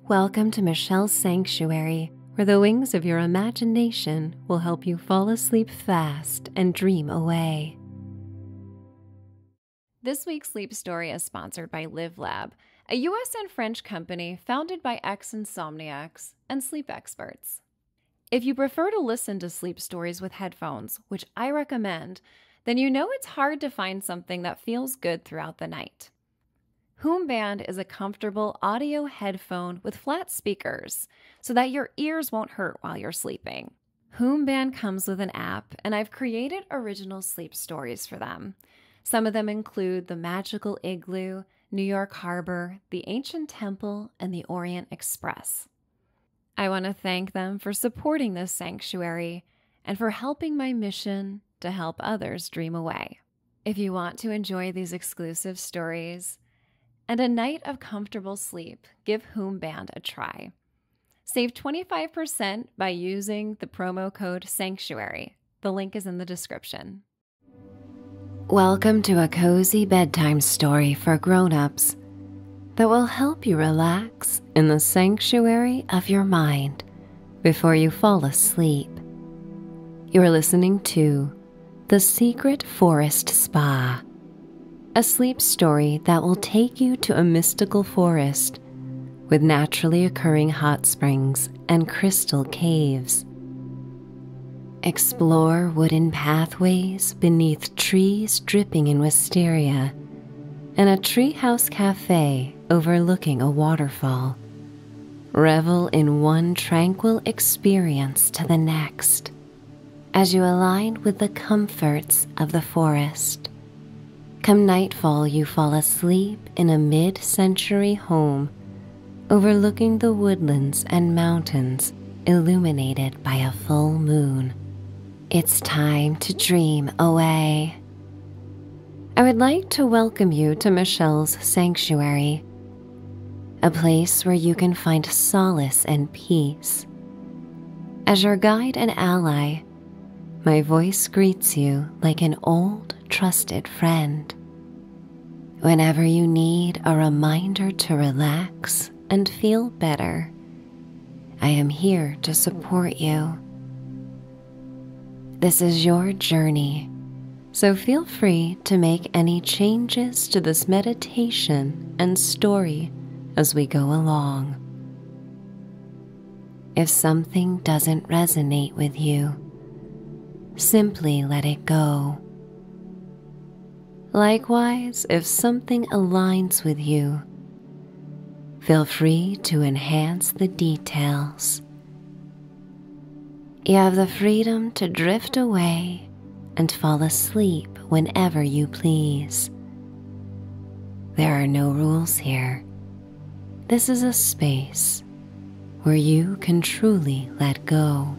Welcome to Michelle's Sanctuary, where the wings of your imagination will help you fall asleep fast and dream away. This week's sleep story is sponsored by LiveLab, a US and French company founded by ex insomniacs and sleep experts. If you prefer to listen to sleep stories with headphones, which I recommend, then you know it's hard to find something that feels good throughout the night. Hoomband is a comfortable audio headphone with flat speakers so that your ears won't hurt while you're sleeping. Hoomband comes with an app, and I've created original sleep stories for them. Some of them include The Magical Igloo, New York Harbor, The Ancient Temple, and The Orient Express. I want to thank them for supporting this sanctuary and for helping my mission to help others dream away. If you want to enjoy these exclusive stories and a night of comfortable sleep, give Hoomband a try. Save 25% by using the promo code SANCTUARY. The link is in the description. Welcome to a cozy bedtime story for grown-ups that will help you relax in the sanctuary of your mind before you fall asleep. You're listening to The Secret Forest Spa, a sleep story that will take you to a mystical forest with naturally occurring hot springs and crystal caves. Explore wooden pathways beneath trees dripping in wisteria and a treehouse cafe overlooking a waterfall Revel in one tranquil experience to the next as you align with the comforts of the forest. Come nightfall, you fall asleep in a mid century home overlooking the woodlands and mountains illuminated by a full moon. It's time to dream away. I would like to welcome you to Michelle's Sanctuary, a place where you can find solace and peace. As your guide and ally, my voice greets you like an old, trusted friend. Whenever you need a reminder to relax and feel better, I am here to support you. This is your journey, so feel free to make any changes to this meditation and story as we go along. If something doesn't resonate with you, simply let it go. Likewise, if something aligns with you, feel free to enhance the details. You have the freedom to drift away and fall asleep whenever you please. There are no rules here. This is a space where you can truly let go.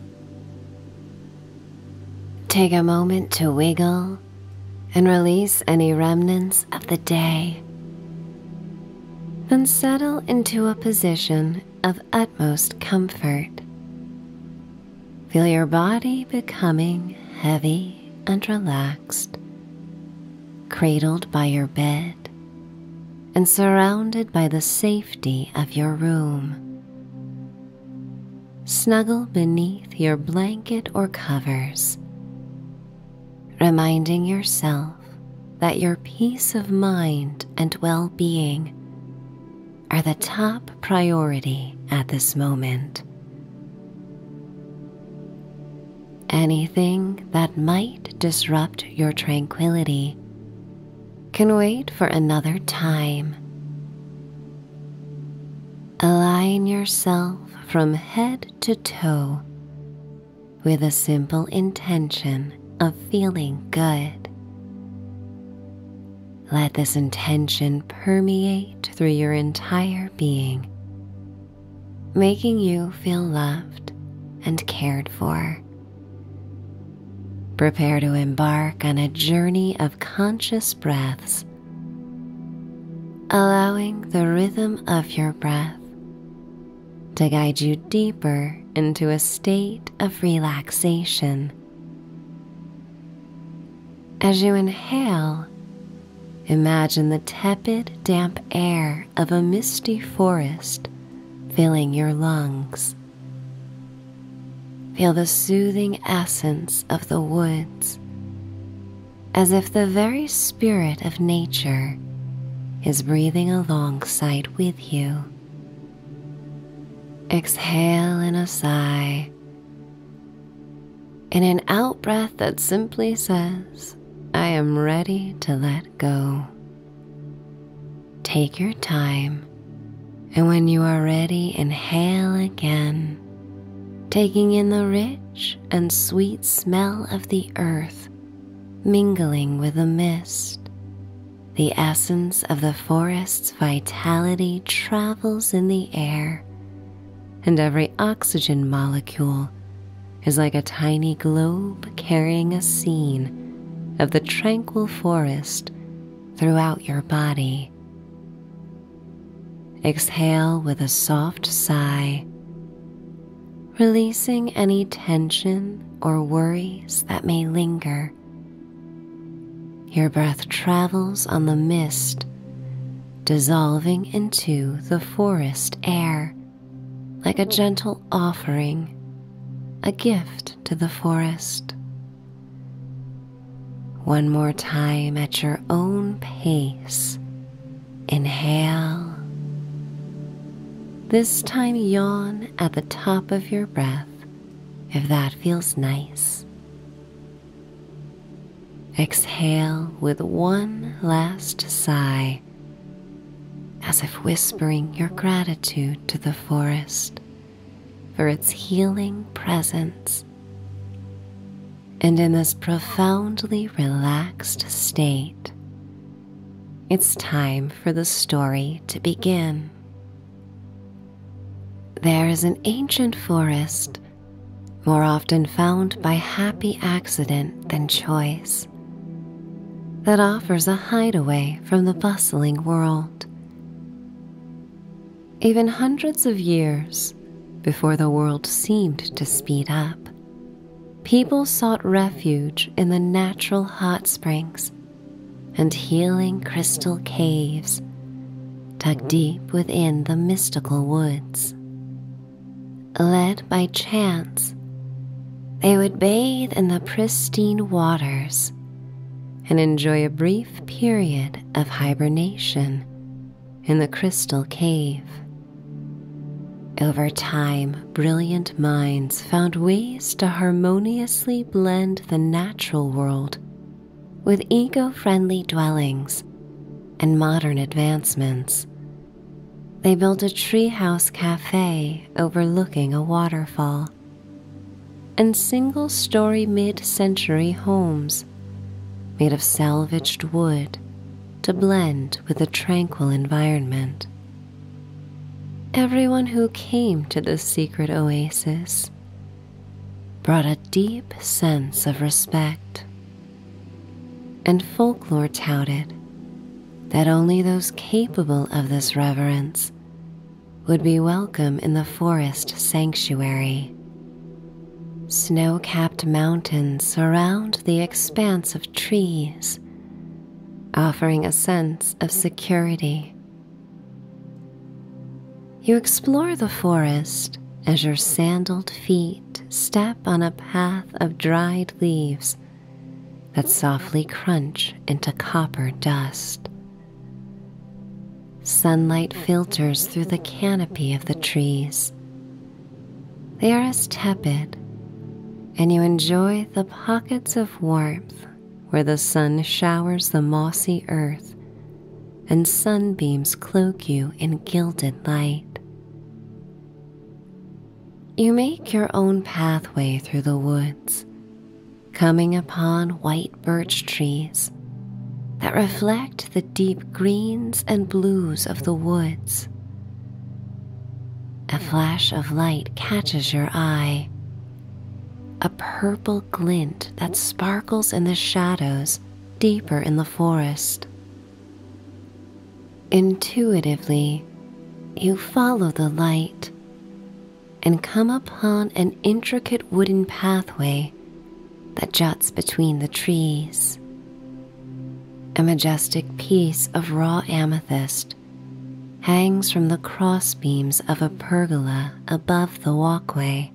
Take a moment to wiggle and release any remnants of the day. Then settle into a position of utmost comfort. Feel your body becoming heavy and relaxed, cradled by your bed and surrounded by the safety of your room. Snuggle beneath your blanket or covers, reminding yourself that your peace of mind and well being are the top priority at this moment. Anything that might disrupt your tranquility can wait for another time. Align yourself from head to toe with a simple intention of feeling good. Let this intention permeate through your entire being, making you feel loved and cared for. Prepare to embark on a journey of conscious breaths, allowing the rhythm of your breath to guide you deeper into a state of relaxation. As you inhale, imagine the tepid, damp air of a misty forest filling your lungs. Feel the soothing essence of the woods as if the very spirit of nature is breathing alongside with you you. Exhale in a sigh, in an out breath that simply says, I am ready to let go. Take your time, and when you are ready, inhale again, taking in the rich and sweet smell of the earth mingling with the mist. The essence of the forest's vitality travels in the air, and every oxygen molecule is like a tiny globe carrying a scene of the tranquil forest throughout your body. Exhale with a soft sigh releasing any tension or worries that may linger. Your breath travels on the mist, dissolving into the forest air like a gentle offering, a gift to the forest. One more time at your own pace. Inhale. This time, yawn at the top of your breath if that feels nice. Exhale with one last sigh, as if whispering your gratitude to the forest for its healing presence. And in this profoundly relaxed state, it's time for the story to begin. There is an ancient forest, more often found by happy accident than choice, that offers a hideaway from the bustling world. Even hundreds of years before the world seemed to speed up, people sought refuge in the natural hot springs and healing crystal caves dug deep within the mystical woods. Led by chance, they would bathe in the pristine waters and enjoy a brief period of hibernation in the crystal cave. Over time, brilliant minds found ways to harmoniously blend the natural world with eco friendly dwellings and modern advancements. They built a treehouse cafe overlooking a waterfall and single story mid century homes made of salvaged wood to blend with the tranquil environment. Everyone who came to this secret oasis brought a deep sense of respect, and folklore touted that only those capable of this reverence would be welcome in the forest sanctuary. Snow capped mountains surround the expanse of trees offering a sense of security. You explore the forest as your sandaled feet step on a path of dried leaves that softly crunch into copper dust. Sunlight filters through the canopy of the trees. They are as tepid, and you enjoy the pockets of warmth where the sun showers the mossy earth and sunbeams cloak you in gilded light. You make your own pathway through the woods, coming upon white birch trees that reflect the deep greens and blues of the woods. A flash of light catches your eye a purple glint that sparkles in the shadows deeper in the forest. Intuitively, you follow the light and come upon an intricate wooden pathway that juts between the trees. A majestic piece of raw amethyst hangs from the crossbeams of a pergola above the walkway.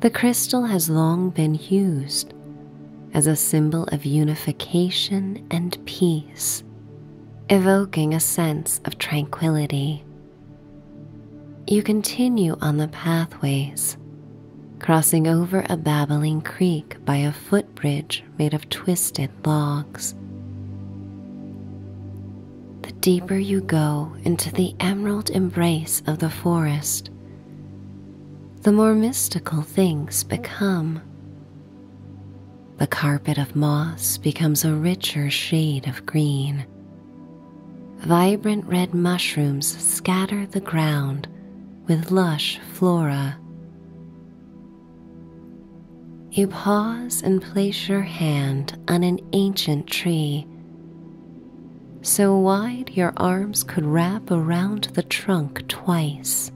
The crystal has long been used as a symbol of unification and peace, evoking a sense of tranquility. You continue on the pathways, crossing over a babbling creek by a footbridge made of twisted logs. The deeper you go into the emerald embrace of the forest, the more mystical things become. The carpet of moss becomes a richer shade of green. Vibrant red mushrooms scatter the ground with lush flora. You pause and place your hand on an ancient tree, so wide your arms could wrap around the trunk twice.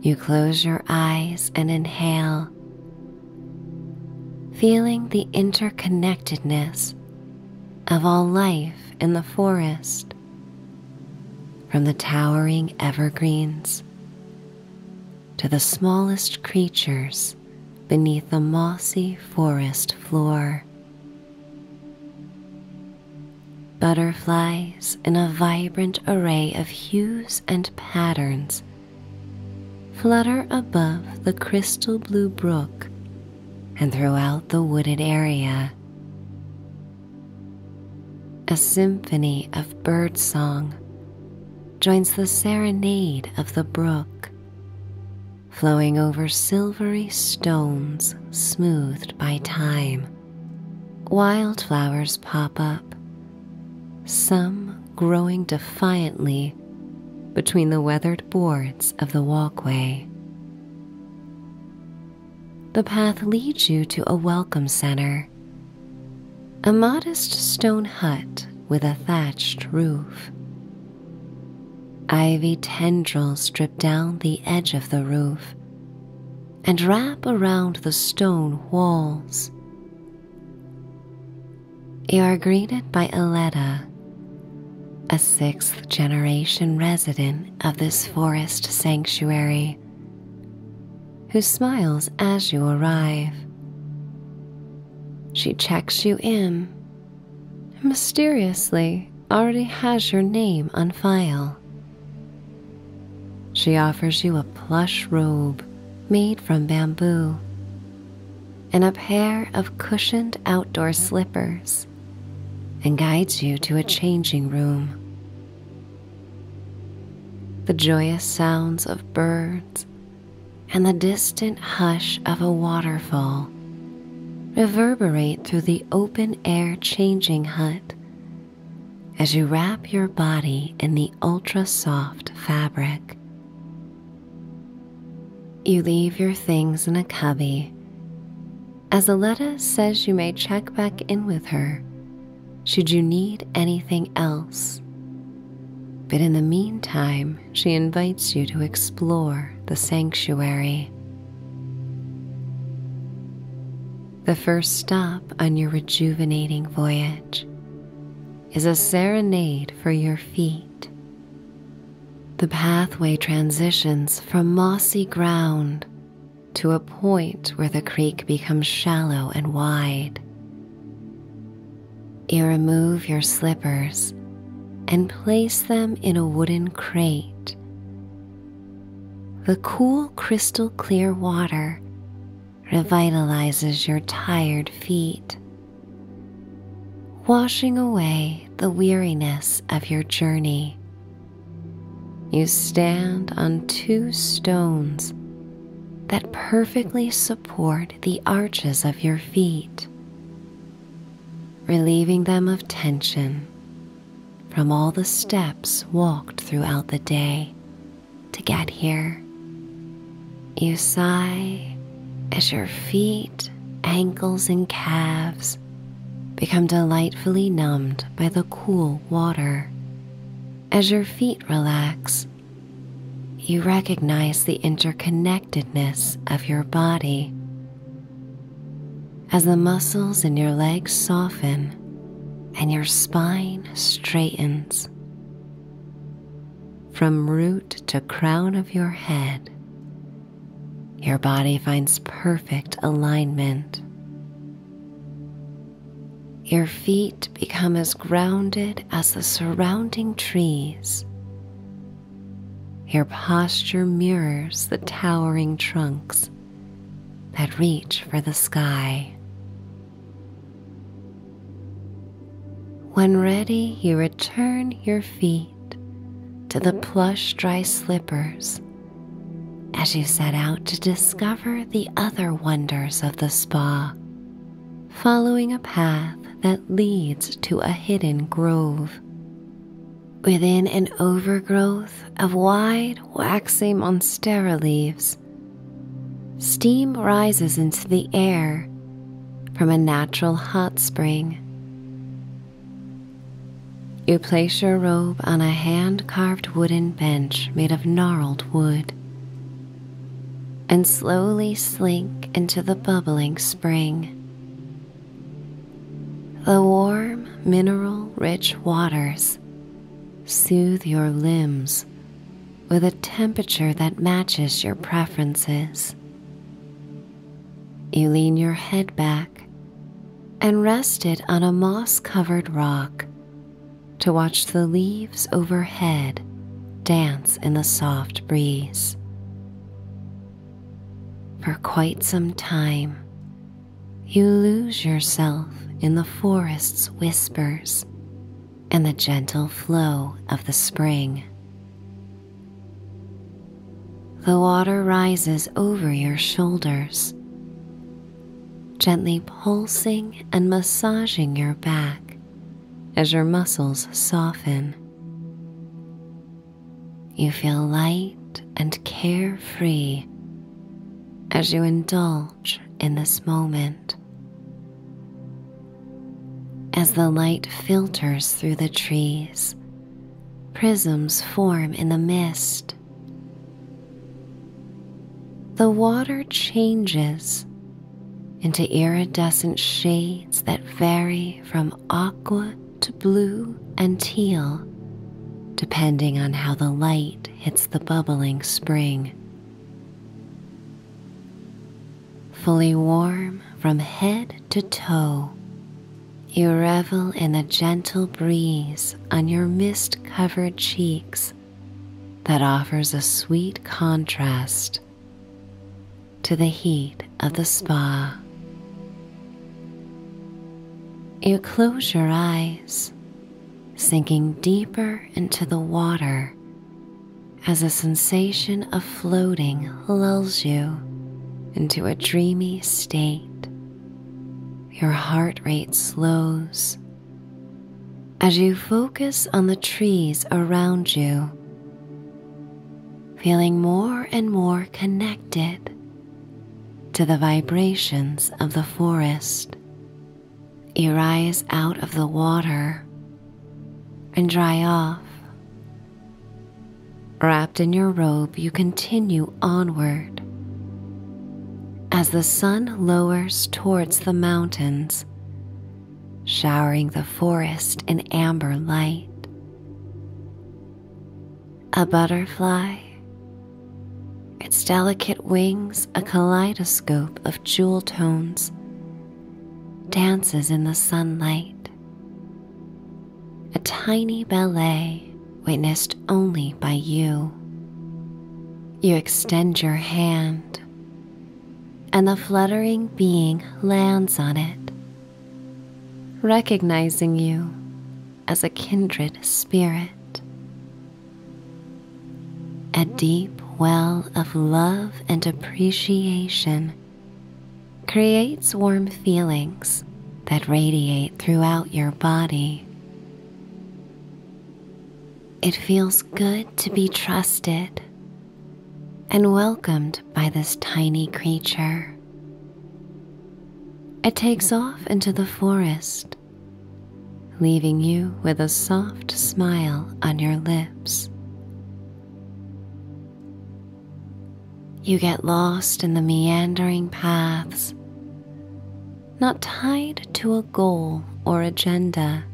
You close your eyes and inhale, feeling the interconnectedness of all life in the forest, from the towering evergreens to the smallest creatures beneath the mossy forest floor. Butterflies in a vibrant array of hues and patterns flutter above the crystal blue brook and throughout the wooded area, a symphony of bird song joins the serenade of the brook, flowing over silvery stones smoothed by time. Wildflowers pop up, some growing defiantly between the weathered boards of the walkway. The path leads you to a welcome center a modest stone hut with a thatched roof. Ivy tendrils drip down the edge of the roof and wrap around the stone walls. You are greeted by Aletta, a sixth generation resident of this forest sanctuary who smiles as you arrive. She checks you in and mysteriously already has your name on file. She offers you a plush robe made from bamboo and a pair of cushioned outdoor slippers and guides you to a changing room. The joyous sounds of birds and the distant hush of a waterfall reverberate through the open air changing hut as you wrap your body in the ultra soft fabric. You leave your things in a cubby as Aletta says you may check back in with her should you need anything else. But in the meantime, she invites you to explore the sanctuary. The first stop on your rejuvenating voyage is a serenade for your feet. The pathway transitions from mossy ground to a point where the creek becomes shallow and wide. You remove your slippers and place them in a wooden crate. The cool, crystal clear water revitalizes your tired feet, washing away the weariness of your journey. You stand on two stones that perfectly support the arches of your feet, relieving them of tension from all the steps walked throughout the day to get here. You sigh as your feet, ankles, and calves become delightfully numbed by the cool water. As your feet relax, you recognize the interconnectedness of your body. As the muscles in your legs soften and your spine straightens, from root to crown of your head, your body finds perfect alignment. Your feet become as grounded as the surrounding trees. Your posture mirrors the towering trunks that reach for the sky. When ready, you return your feet to the plush dry slippers as you set out to discover the other wonders of the spa following a path that leads to a hidden grove. Within an overgrowth of wide, waxy monstera leaves, steam rises into the air from a natural hot spring. You place your robe on a hand carved wooden bench made of gnarled wood and slowly slink into the bubbling spring. The warm, mineral rich waters soothe your limbs with a temperature that matches your preferences. You lean your head back and rest it on a moss covered rock to watch the leaves overhead dance in the soft breeze. For quite some time, you lose yourself in the forest's whispers and the gentle flow of the spring. The water rises over your shoulders, gently pulsing and massaging your back as your muscles soften. You feel light and carefree as you indulge in this moment. As the light filters through the trees, prisms form in the mist. The water changes into iridescent shades that vary from aqua to blue and teal, depending on how the light hits the bubbling spring. Fully warm from head to toe, you revel in the gentle breeze on your mist covered cheeks that offers a sweet contrast to the heat of the spa. You close your eyes, sinking deeper into the water as a sensation of floating lulls you into a dreamy state. Your heart rate slows as you focus on the trees around you, feeling more and more connected to the vibrations of the forest, you rise out of the water and dry off. Wrapped in your robe, you continue onward. As the sun lowers towards the mountains, showering the forest in amber light. A butterfly, its delicate wings a kaleidoscope of jewel tones, dances in the sunlight. A tiny ballet witnessed only by you. You extend your hand, and the fluttering being lands on it, recognizing you as a kindred spirit. A deep well of love and appreciation creates warm feelings that radiate throughout your body. It feels good to be trusted and welcomed by this tiny creature. It takes off into the forest, leaving you with a soft smile on your lips. You get lost in the meandering paths, not tied to a goal or agenda,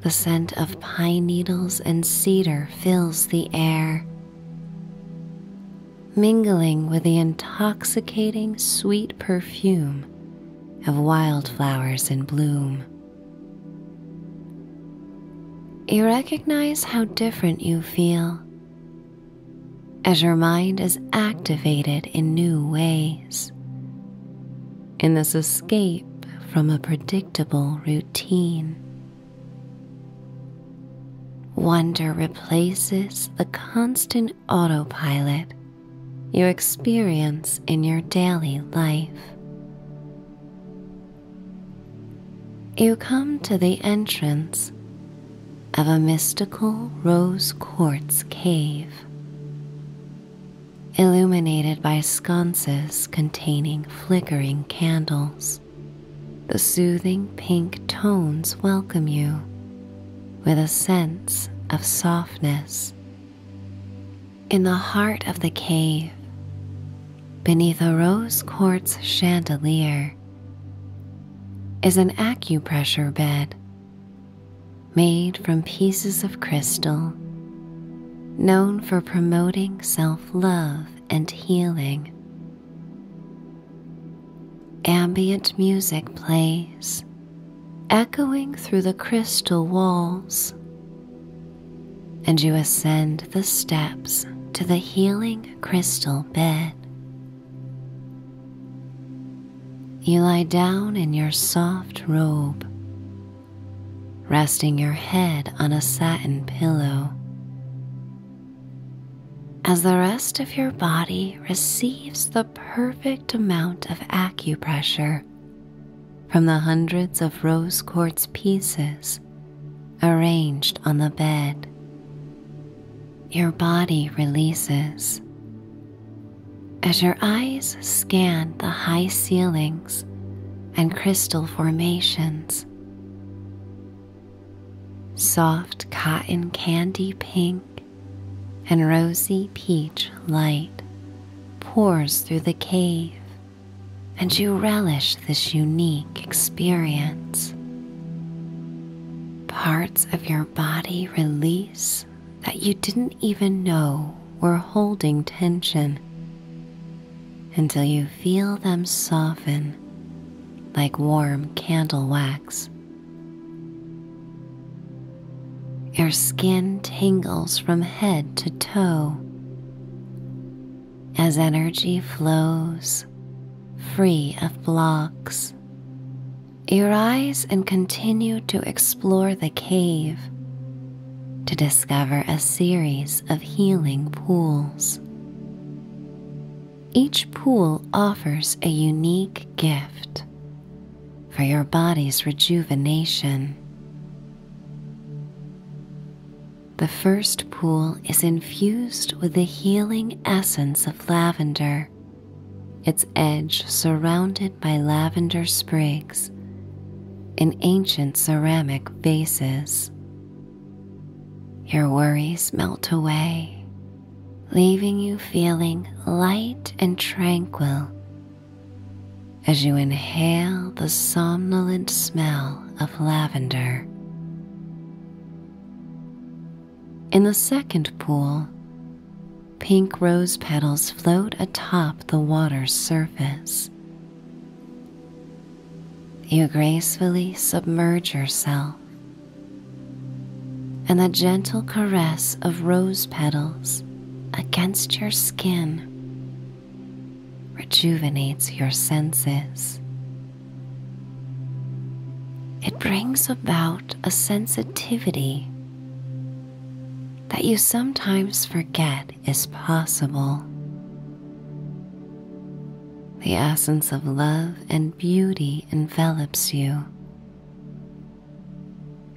the scent of pine needles and cedar fills the air, mingling with the intoxicating sweet perfume of wildflowers in bloom. You recognize how different you feel as your mind is activated in new ways in this escape from a predictable routine. Wonder replaces the constant autopilot you experience in your daily life. You come to the entrance of a mystical rose quartz cave illuminated by sconces containing flickering candles. The soothing pink tones welcome you with a sense of softness. In the heart of the cave, beneath a rose quartz chandelier, is an acupressure bed made from pieces of crystal, known for promoting self love and healing. Ambient music plays, echoing through the crystal walls, and you ascend the steps to the healing crystal bed. You lie down in your soft robe, resting your head on a satin pillow. As the rest of your body receives the perfect amount of acupressure from the hundreds of rose quartz pieces arranged on the bed, your body releases as your eyes scan the high ceilings and crystal formations, soft cotton candy pink and rosy peach light pours through the cave, and you relish this unique experience. Parts of your body release that you didn't even know were holding tension until you feel them soften like warm candle wax. Your skin tingles from head to toe as energy flows, free of blocks. Your eyes and continue to explore the cave to discover a series of healing pools. Each pool offers a unique gift for your body's rejuvenation. The first pool is infused with the healing essence of lavender, its edge surrounded by lavender sprigs in ancient ceramic vases. Your worries melt away, leaving you feeling light and tranquil as you inhale the somnolent smell of lavender. In the second pool, Pink rose petals float atop the water's surface. You gracefully submerge yourself, and the gentle caress of rose petals against your skin rejuvenates your senses. It brings about a sensitivity that you sometimes forget is possible. The essence of love and beauty envelops you,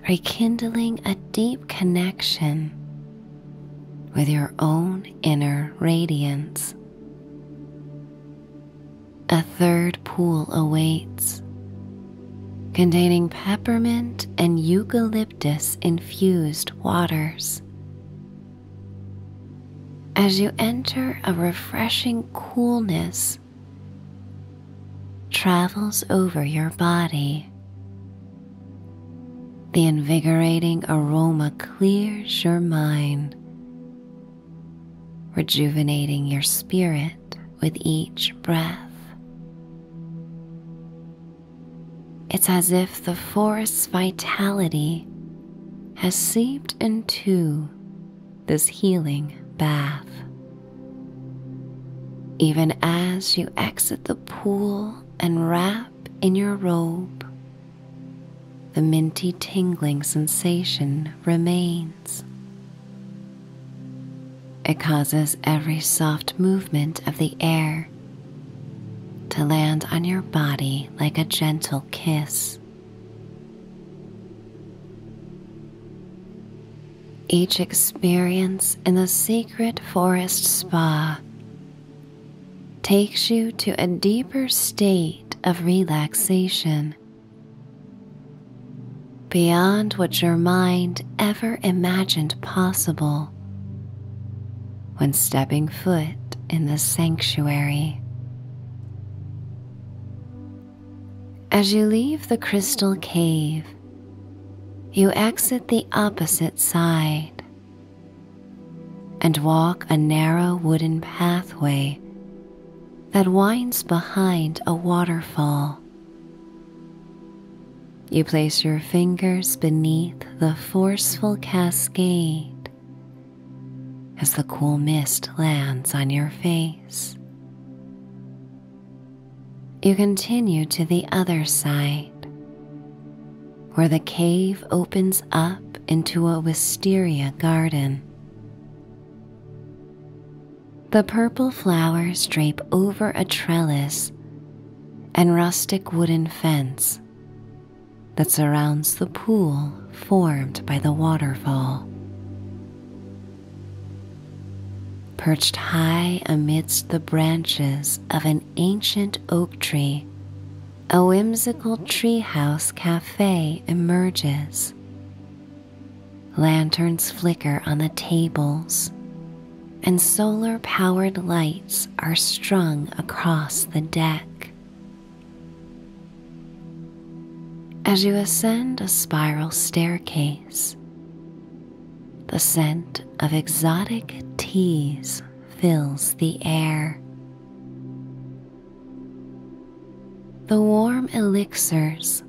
rekindling a deep connection with your own inner radiance. A third pool awaits, containing peppermint and eucalyptus eucalyptus infused waters. As you enter a refreshing coolness travels over your body. The invigorating aroma clears your mind, rejuvenating your spirit with each breath. It's as if the forest's vitality has seeped into this healing bath. Even as you exit the pool and wrap in your robe, the minty tingling sensation remains. It causes every soft movement of the air to land on your body like a gentle kiss. Each experience in the secret forest spa takes you to a deeper state of relaxation beyond what your mind ever imagined possible when stepping foot in the sanctuary. As you leave the crystal cave, you exit the opposite side and walk a narrow wooden pathway that winds behind a waterfall. You place your fingers beneath the forceful cascade as the cool mist lands on your face. You continue to the other side, where the cave opens up into a wisteria garden. The purple flowers drape over a trellis and rustic wooden fence that surrounds the pool formed by the waterfall. Perched high amidst the branches of an ancient oak tree, a whimsical treehouse cafe emerges. Lanterns flicker on the tables and solar powered lights are strung across the deck. As you ascend a spiral staircase, the scent of exotic teas fills the air. The warm elixirs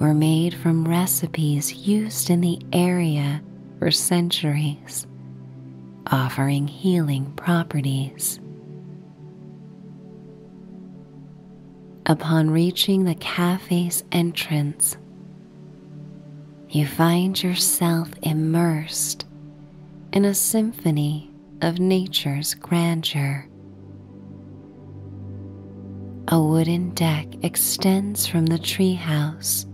were made from recipes used in the area for centuries, offering healing properties. Upon reaching the cafe's entrance, you find yourself immersed in a symphony of nature's grandeur. A wooden deck extends from the treehouse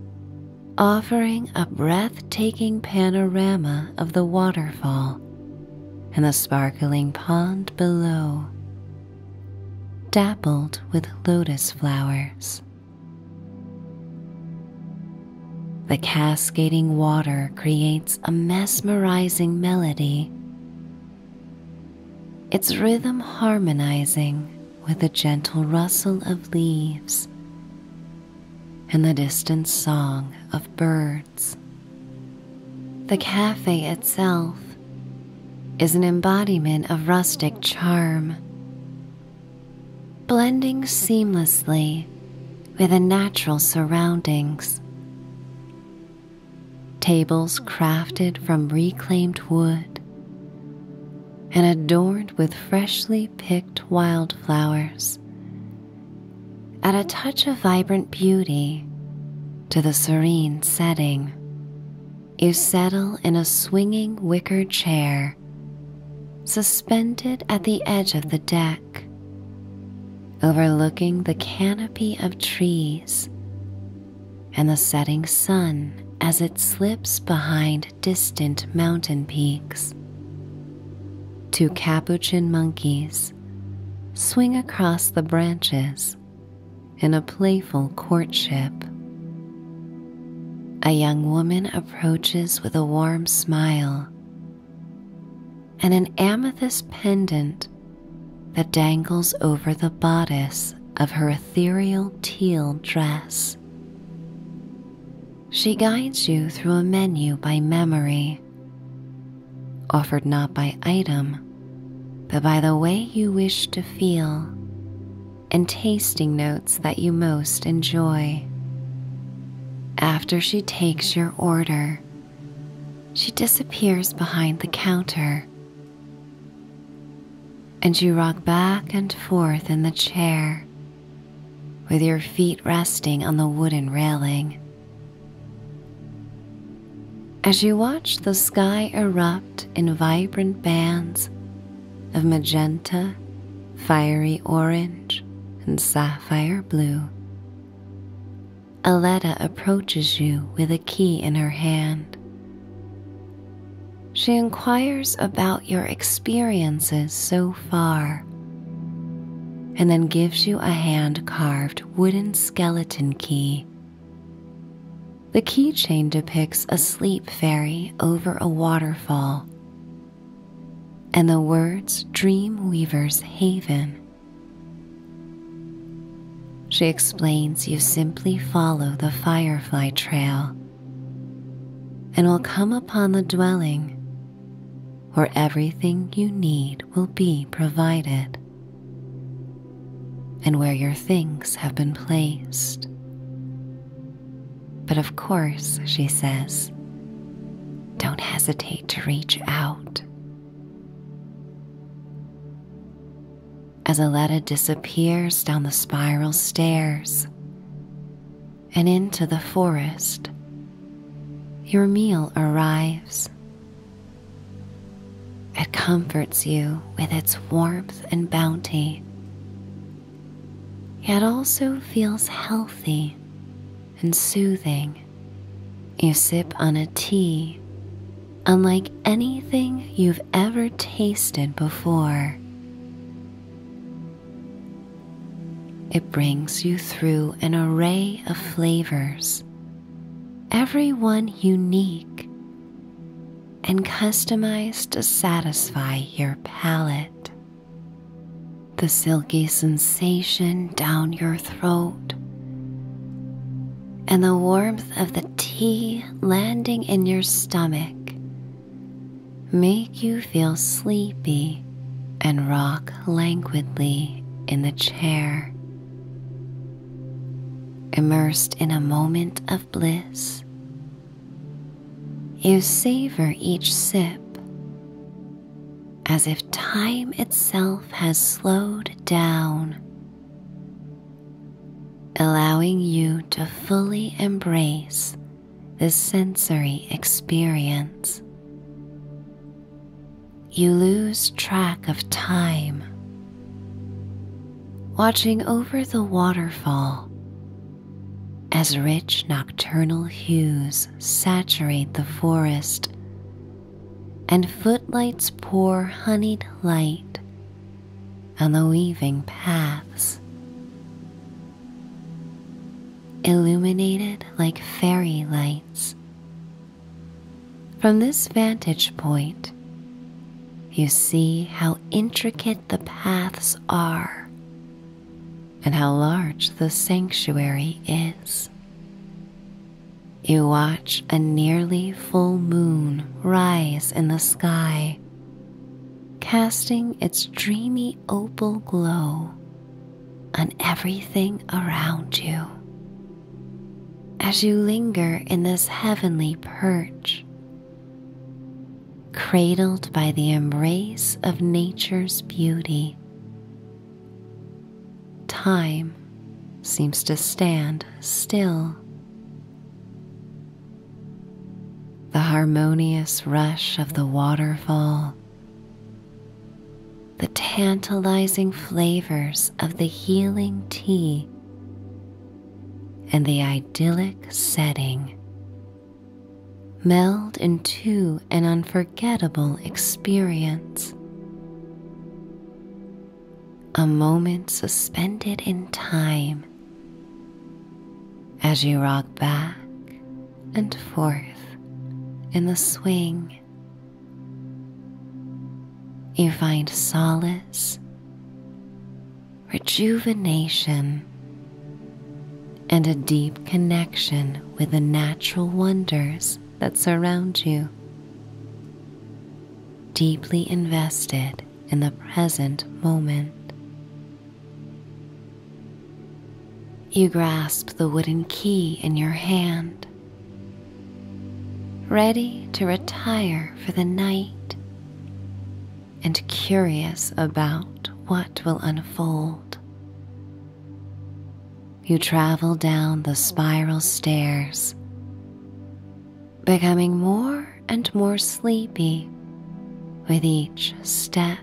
offering a breathtaking panorama of the waterfall and the sparkling pond below, dappled with lotus flowers. The cascading water creates a mesmerizing melody, its rhythm harmonizing with a gentle rustle of leaves and the distant song of birds. The cafe itself is an embodiment of rustic charm, blending seamlessly with the natural surroundings. Tables crafted from reclaimed wood and adorned with freshly picked wildflowers. Add a touch of vibrant beauty to the serene setting. You settle in a swinging wicker chair suspended at the edge of the deck, overlooking the canopy of trees and the setting sun as it slips behind distant mountain peaks. Two capuchin monkeys swing across the branches in a playful courtship. A young woman approaches with a warm smile and an amethyst pendant that dangles over the bodice of her ethereal teal dress. She guides you through a menu by memory, offered not by item, but by the way you wish to feel and tasting notes that you most enjoy. After she takes your order, she disappears behind the counter and you rock back and forth in the chair with your feet resting on the wooden railing. As you watch the sky erupt in vibrant bands of magenta, fiery orange, and sapphire blue, Aletta approaches you with a key in her hand. She inquires about your experiences so far and then gives you a hand carved wooden skeleton key. The keychain depicts a sleep fairy over a waterfall and the words Dream Weaver's Haven. She explains you simply follow the firefly trail and will come upon the dwelling where everything you need will be provided and where your things have been placed. But of course, she says, don't hesitate to reach out. As Aletta disappears down the spiral stairs, and into the forest, your meal arrives. It comforts you with its warmth and bounty, yet also feels healthy and soothing. You sip on a tea unlike anything you've ever tasted before. It brings you through an array of flavors, every one unique and customized to satisfy your palate. The silky sensation down your throat and the warmth of the tea landing in your stomach make you feel sleepy and rock languidly in the chair. Immersed in a moment of bliss, you savor each sip as if time itself has slowed down, allowing you to fully embrace this sensory experience. You lose track of time, watching over the waterfall as rich nocturnal hues saturate the forest and footlights pour honeyed light on the weaving paths illuminated like fairy lights. From this vantage point, you see how intricate the paths are and how large the sanctuary is. You watch a nearly full moon rise in the sky casting its dreamy opal glow on everything around you. As you linger in this heavenly perch, cradled by the embrace of nature's beauty, time seems to stand still the harmonious rush of the waterfall, the tantalizing flavors of the healing tea, and the idyllic setting meld into an unforgettable experience. A moment suspended in time as you rock back and forth in the swing. You find solace, rejuvenation, and a deep connection with the natural wonders that surround you. Deeply invested in the present moment. You grasp the wooden key in your hand, ready to retire for the night and curious about what will unfold. You travel down the spiral stairs, becoming more and more sleepy with each step.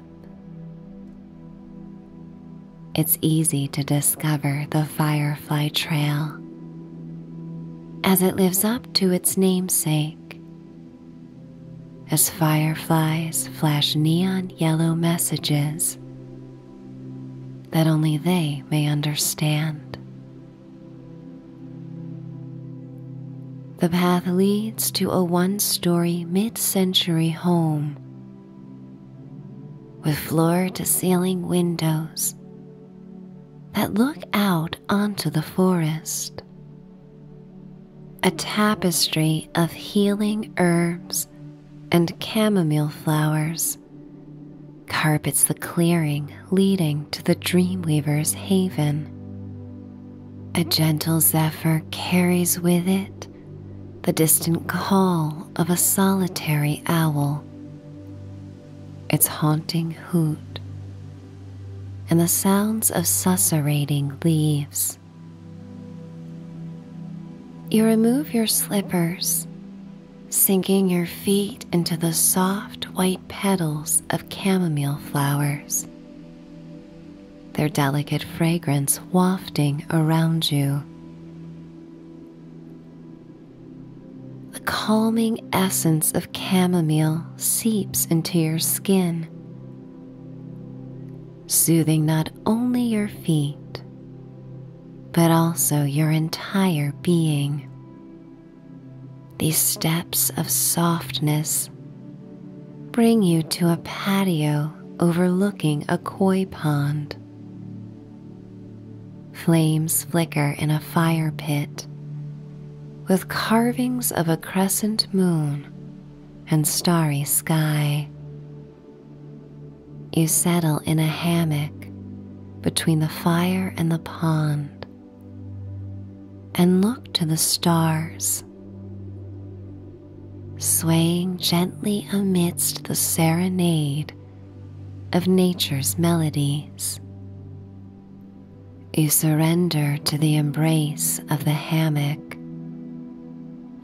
It's easy to discover the Firefly Trail as it lives up to its namesake, as fireflies flash neon yellow messages that only they may understand. The path leads to a one story mid century home with floor to ceiling windows that look out onto the forest. A tapestry of healing herbs and chamomile flowers carpets the clearing leading to the Dreamweaver's haven. A gentle zephyr carries with it the distant call of a solitary owl, its haunting hoot, and the sounds of susurrating leaves. You remove your slippers, sinking your feet into the soft white petals of chamomile flowers their delicate fragrance wafting around you. The calming essence of chamomile seeps into your skin, soothing not only your feet but also your entire being. These steps of softness bring you to a patio overlooking a koi pond. Flames flicker in a fire pit with carvings of a crescent moon and starry sky. You settle in a hammock between the fire and the pond and look to the stars swaying gently amidst the serenade of nature's melodies. You surrender to the embrace of the hammock,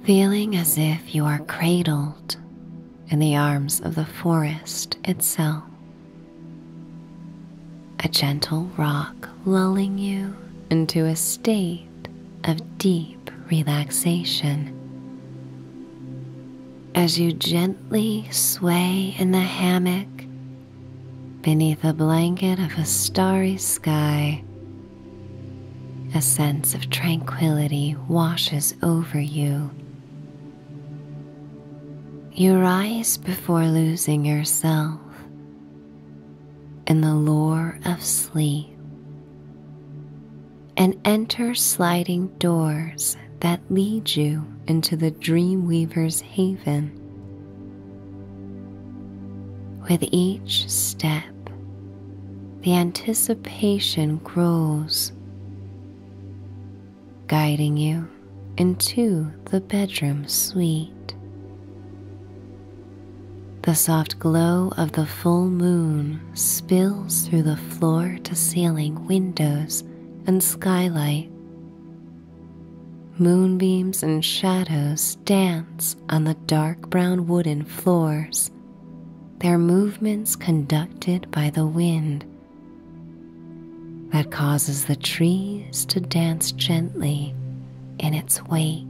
feeling as if you are cradled in the arms of the forest itself. A gentle rock lulling you into a state of deep relaxation. As you gently sway in the hammock beneath a blanket of a starry sky, a sense of tranquility washes over you. You rise before losing yourself in the lore of sleep and enter sliding doors that lead you into the dream weaver's haven. With each step, the anticipation grows, guiding you into the bedroom suite. The soft glow of the full moon spills through the floor to ceiling windows and skylight. Moonbeams and shadows dance on the dark brown wooden floors, their movements conducted by the wind that causes the trees to dance gently in its wake.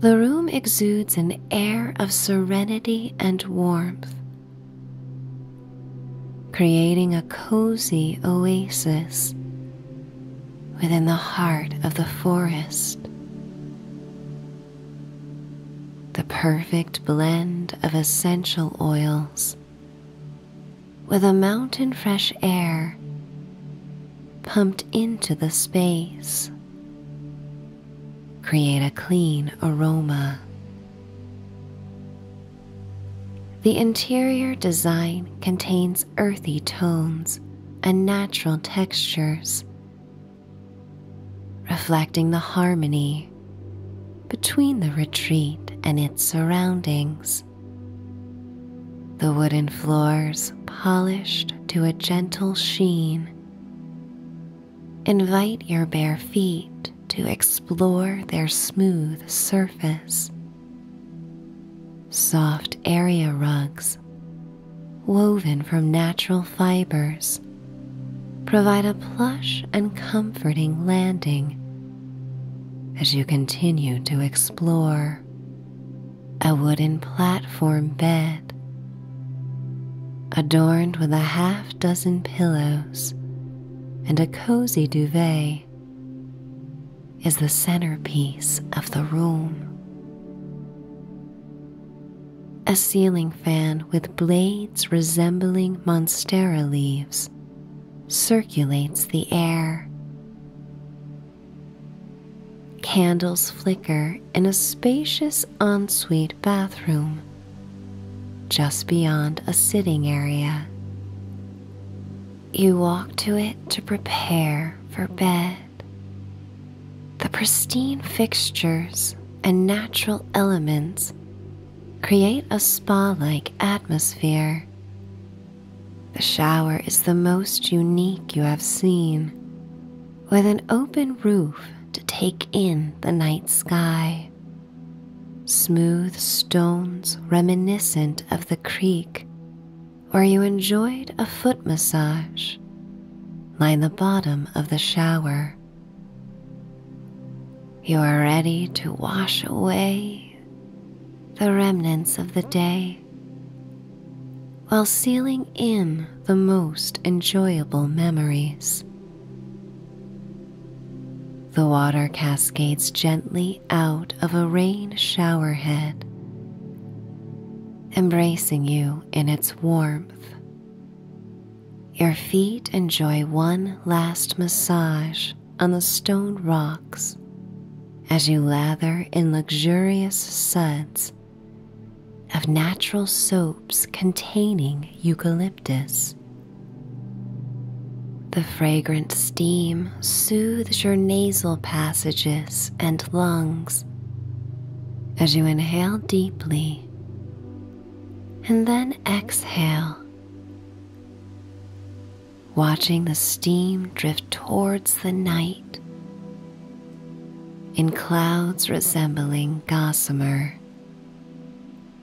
The room exudes an air of serenity and warmth, creating a cozy oasis within the heart of the forest. The perfect blend of essential oils with a mountain fresh air pumped into the space. Create a clean aroma. The interior design contains earthy tones and natural textures, reflecting the harmony between the retreat and its surroundings the wooden floors polished to a gentle sheen. Invite your bare feet to explore their smooth surface. Soft area rugs, woven from natural fibers, provide a plush and comforting landing as you continue to explore a wooden platform bed adorned with a half dozen pillows and a cozy duvet. Is the centerpiece of the room. A ceiling fan with blades resembling monstera leaves circulates the air, Candles flicker in a spacious ensuite bathroom just beyond a sitting area. You walk to it to prepare for bed. The pristine fixtures and natural elements create a spa like atmosphere the shower is the most unique you have seen, with an open roof to take in the night sky. Smooth stones reminiscent of the creek where you enjoyed a foot massage line the bottom of the shower. You are ready to wash away the remnants of the day while sealing in the most enjoyable memories. The water cascades gently out of a rain shower head, embracing you in its warmth. Your feet enjoy one last massage on the stone rocks as you lather in luxurious suds of natural soaps containing eucalyptus. The fragrant steam soothes your nasal passages and lungs as you inhale deeply and then exhale watching the steam drift towards the night in clouds resembling gossamer.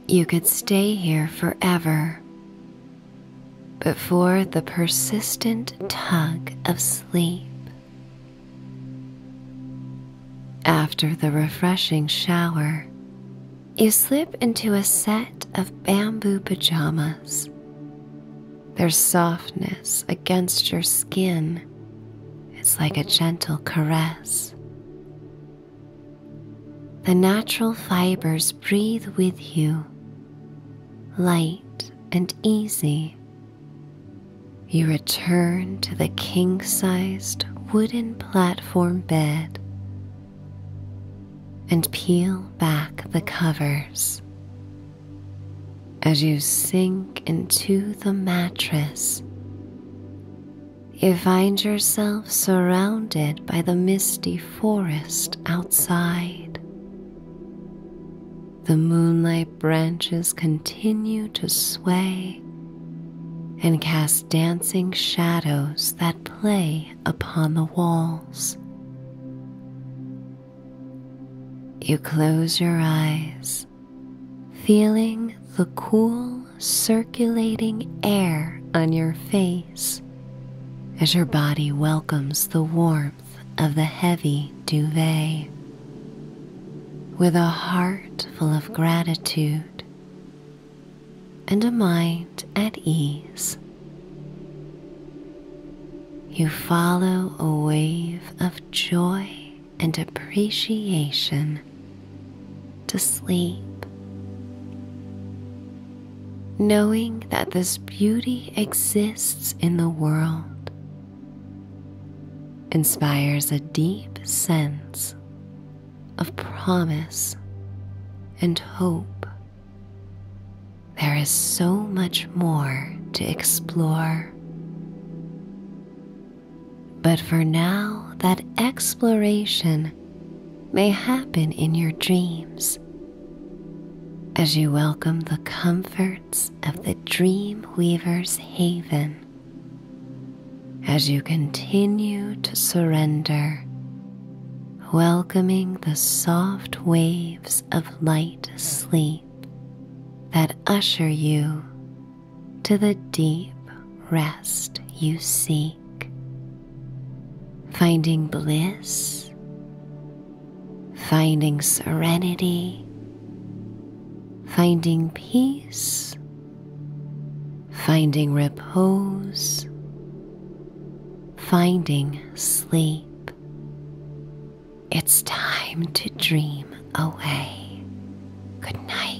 You could stay here forever, but for the persistent tug of sleep. After the refreshing shower, you slip into a set of bamboo pajamas their softness against your skin is like a gentle caress. The natural fibers breathe with you, light and easy. You return to the king sized wooden platform bed and peel back the covers. As you sink into the mattress, you find yourself surrounded by the misty forest outside. The moonlight branches continue to sway and cast dancing shadows that play upon the walls. You close your eyes, feeling the cool circulating air on your face as your body welcomes the warmth of the heavy duvet. With a heart full of gratitude and a mind at ease. You follow a wave of joy and appreciation to sleep, knowing that this beauty exists in the world. Inspires a deep sense of promise and hope. There is so much more to explore. But for now, that exploration may happen in your dreams as you welcome the comforts of the Dream Weaver's Haven as you continue to surrender, welcoming the soft waves of light sleep that usher you to the deep rest you seek, finding bliss, finding serenity, finding peace, finding repose, finding sleep. It's time to dream away. Good night.